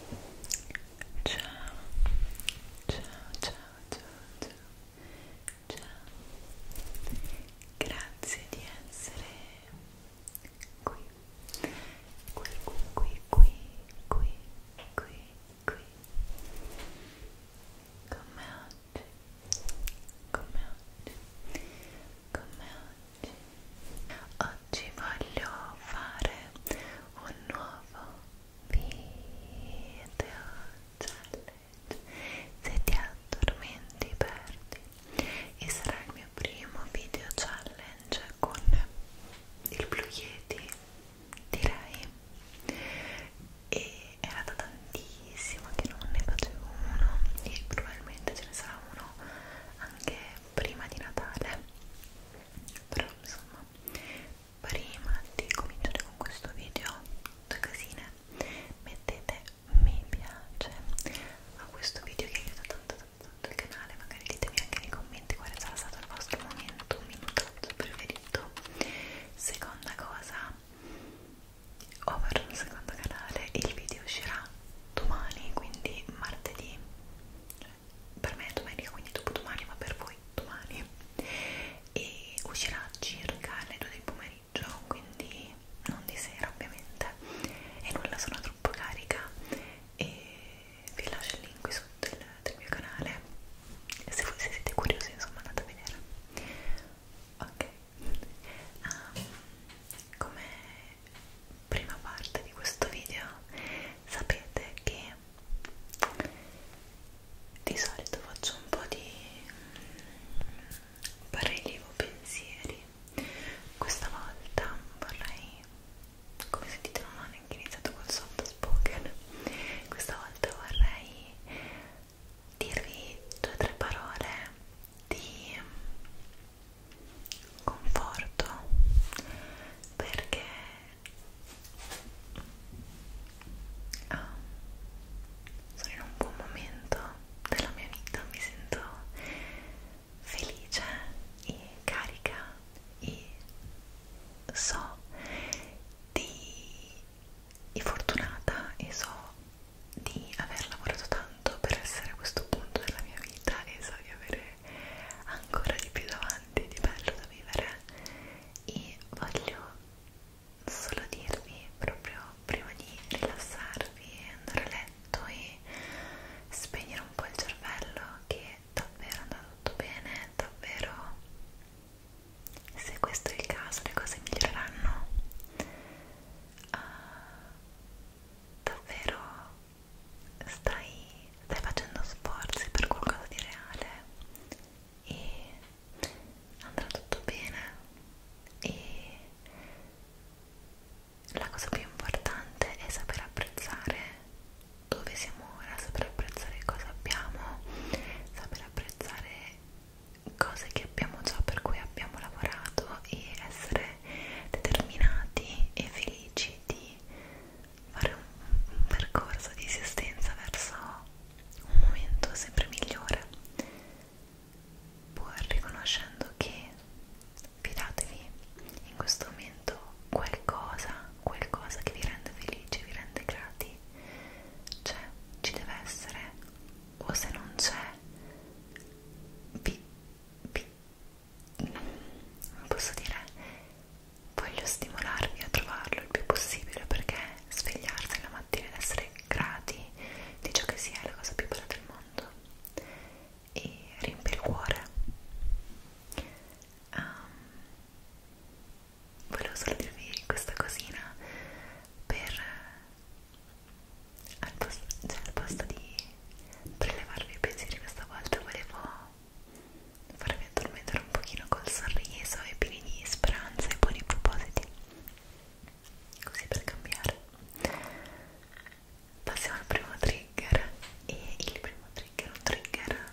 ciao ciao ciao ciao ciao ciao grazie di essere qui qui qui qui qui qui qui qui come oggi come oggi come oggi Oggi voglio fare un nuovo video challenge. Se ti addormenti perdi. E sarà il mio primo video challenge con il Blue Yeti, direi. E era da tantissimo che non ne facevo uno e probabilmente ce ne sarà uno anche prima di Natale però insomma prima di cominciare con questo video da casine mettete mi piace a questo video che aiuta tanto tanto tanto il canale magari ditemi anche nei commenti quale sarà stato il vostro momento minutazzo preferito seconda cosa over un secondo canale il video uscirà domani quindi martedì per me è domenica quindi dopo domani ma per voi domani e uscirà circa alle 2 del pomeriggio quindi non di sera ovviamente e nulla sono troppo carica e vi lascio il link qui sotto del, del mio canale se, voi, se siete curiosi insomma andate a vedere ok um, come prima parte di questo video sapete che di solito faccio un po' di mm, prelievo pensieri questa volta vorrei come sentite non ho neanche iniziato col soft spoken questa volta vorrei dirvi due o tre parole di conforto perché oh, sono in un buon momento della mia vita, mi sento felice e carica e so di e fortunata e so di aver lavorato tanto per essere a questo punto della mia vita e so di avere ancora di più davanti di bello da vivere e voglio solo dirvi proprio prima di rilassarvi e andare a letto e spegnere un po' il cervello che davvero andrà tutto bene, davvero se questo è il caso le cose miglioreranno. Uh, davvero stai, stai facendo sforzi per qualcosa di reale e andrà tutto bene e la cosa più importante è saper apprezzare dove siamo ora, saper apprezzare cosa abbiamo, saper apprezzare cose che abbiamo già per cui abbiamo lavorato e essere determinati e felici di fare un, un percorso di esistenza verso un momento sempre migliore pur riconoscendo che fidatevi in questo momento qualcosa qualcosa che vi rende felici vi rende grati c'è cioè, ci deve essere o se non c'è vi, vi non posso dire voglio stimolarvi a trovarlo il più possibile perché svegliarsi la mattina ed essere grati di ciò che si è la cosa più bella del mondo e riempie il cuore um, volevo solo dirvi questa cosina per al posto, cioè al posto di prelevarvi i pensieri questa volta volevo farvi addormentare un pochino col sorriso e pieni di speranza e buoni propositi così per cambiare passiamo al primo trigger e il primo trigger è un trigger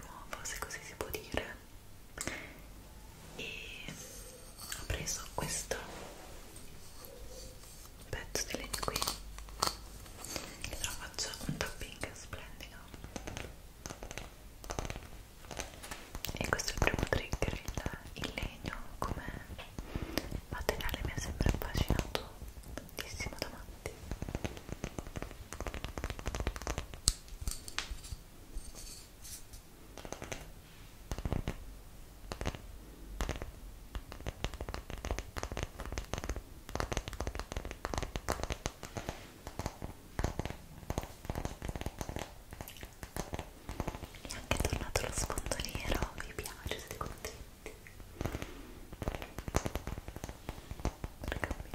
nuovo se così si può dire e ho preso questo pezzo di legno qui e lo faccio un topping splendido e questo è il primo trigger il, il legno come materiale mi ha sempre affascinato tantissimo davanti e è anche tornato lo sfondo nero, vi piace, siete contenti? Per cambiare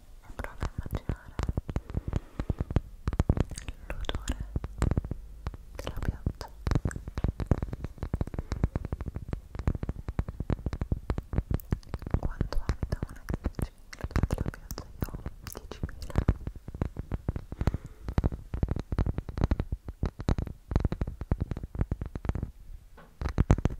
e prova a immaginare l'odore della pioggia quando abita una che dice l'odore della pioggia io ho 10.000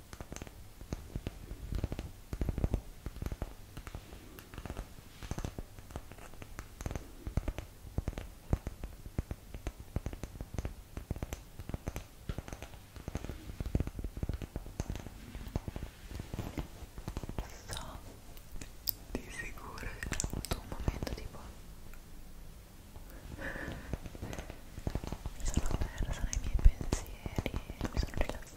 So di sicuro che ho avuto un momento tipo mi sono persa nei miei pensieri mi sono rilassata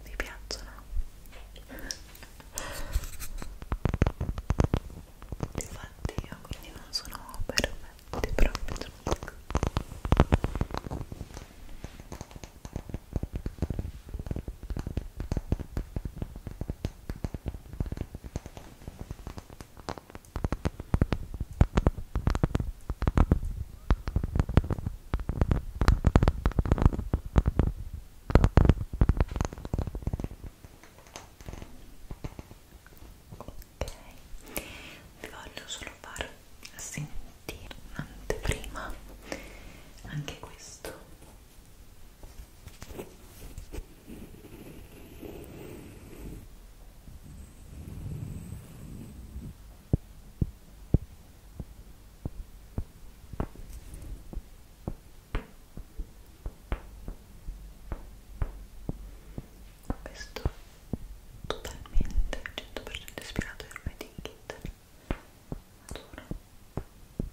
vi piacciono? infatti io quindi non sono perfetti proprio ok vi voglio solo far sentire un'anteprima anche questo ok questo totalmente 100% ispirato al Made in Kit maturo Ecco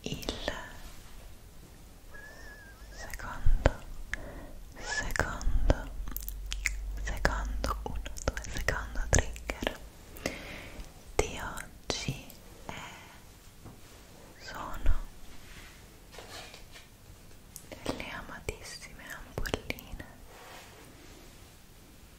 il secondo secondo secondo 1 2 secondo trigger di oggi è sono le amatissime ampolline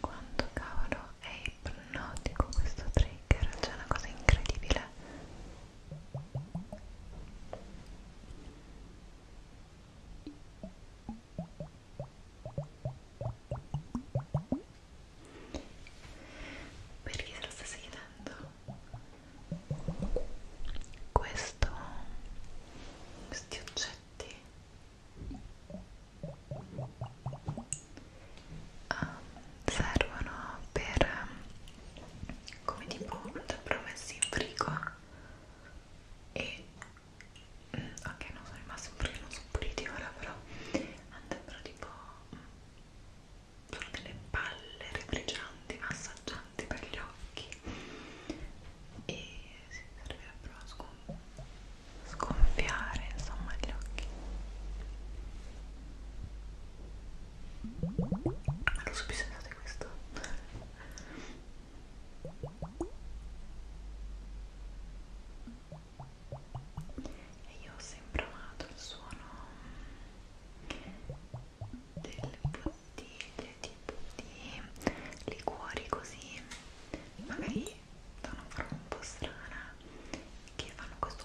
Quanto cavolo è ipnotico questo trigger, c'è cioè una cosa incredibile per chi se lo stesse chiedendo, questo, questi oggetti ah, servono per come tipo un promessi in frigo e mm, ok non sono rimaste perché non sono puliti ora però andrebbero tipo mm, sono delle palle refrigeranti massaggianti per gli occhi e si servirebbero a sconf sgonfiare insomma gli occhi ma lo so più sensato di questo e io ho sempre amato il suono delle bottiglie tipo di liquori così magari da una forma un po' strana che fanno questo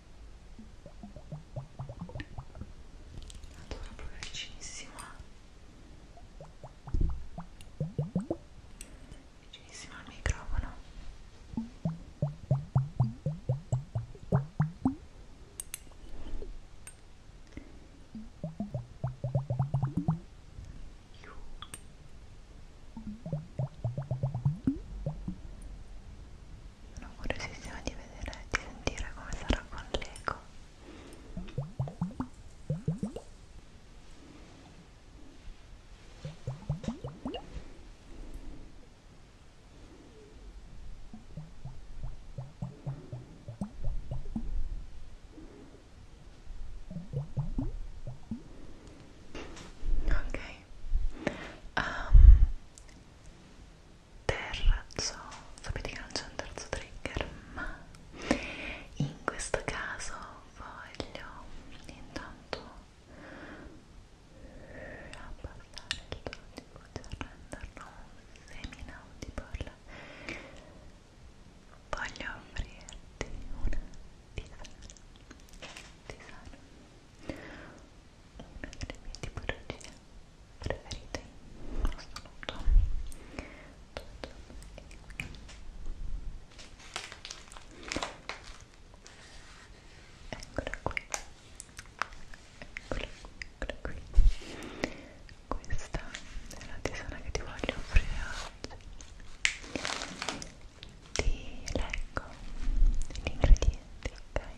allora proprio vicinissima vicinissima al microfono Io sono curiosissima di vedere e di sentire come sarà con l'eco Ok, um, terzo, sapete che non c'è un terzo trigger, ma in questo caso voglio intanto abbassare il tono di voce, renderlo un semi-inaudible voglio offrirti una tisana tisana una delle mie tipologie preferite in assoluto eccola qui eccola qui, eccola qui questa è la tisana che ti voglio offrire oggi ti leggo gli ingredienti ok?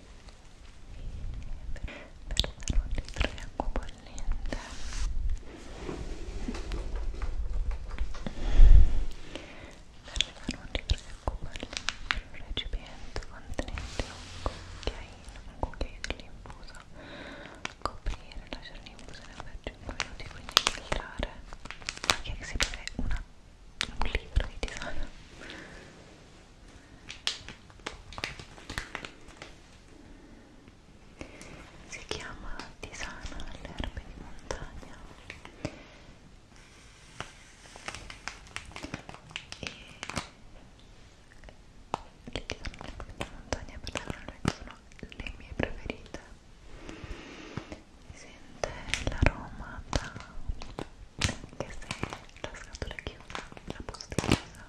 pernaroli freddi acqua bollente pernaroli freddi acqua bollente un recipiente contenente un cucchiaino un cucchiaio dell'infuso coprire, lasciare l'infusione per 5 minuti quindi filtrare anche che si vede una un libro di tisana si chiama tisana alle erbe di montagna e le tisane alle erbe di montagna personalmente sono le mie preferite si sente l'aroma da anche se la scatola è chiusa, la posta è chiusa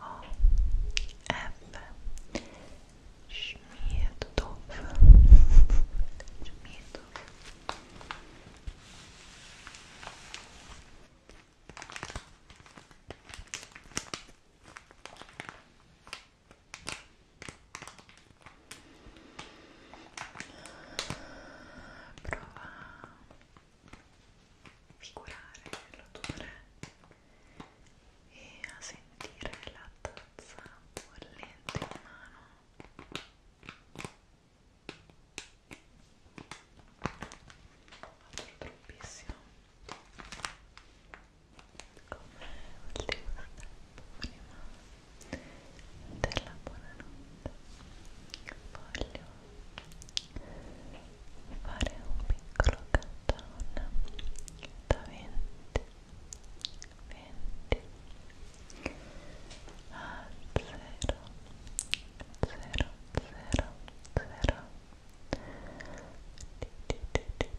O, F, Śmietów, Śmietów. Prowa. figurare l'odore e a sentire la tazza bollente in mano vado troppissimo come ultimo step prima della buonanotte voglio fare un piccolo countdown da 20 20 a 0 0 0 0 con anche il tracing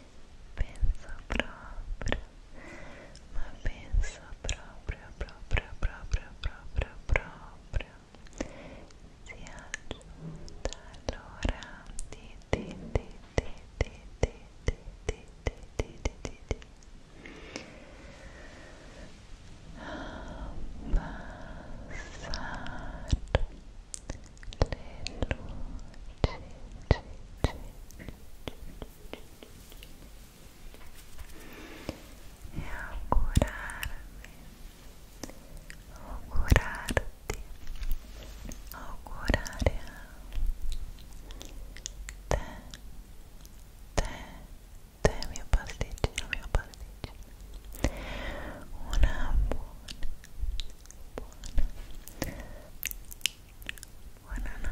penso proprio ma penso proprio proprio proprio proprio proprio sia giunta l'ora di di di di di di di di di di di di abbassare le luci e augurarvi, augurarti, augurare a te, te, te mio pasticcino, mio pasticcino una buona, buona buonanotte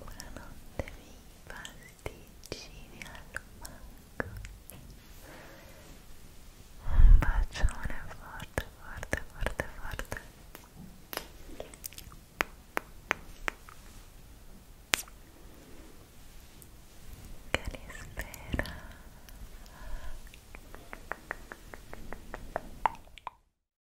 Buonanotte miei pasticcini al mango Un bacione forte, forte, forte, forte Che li spera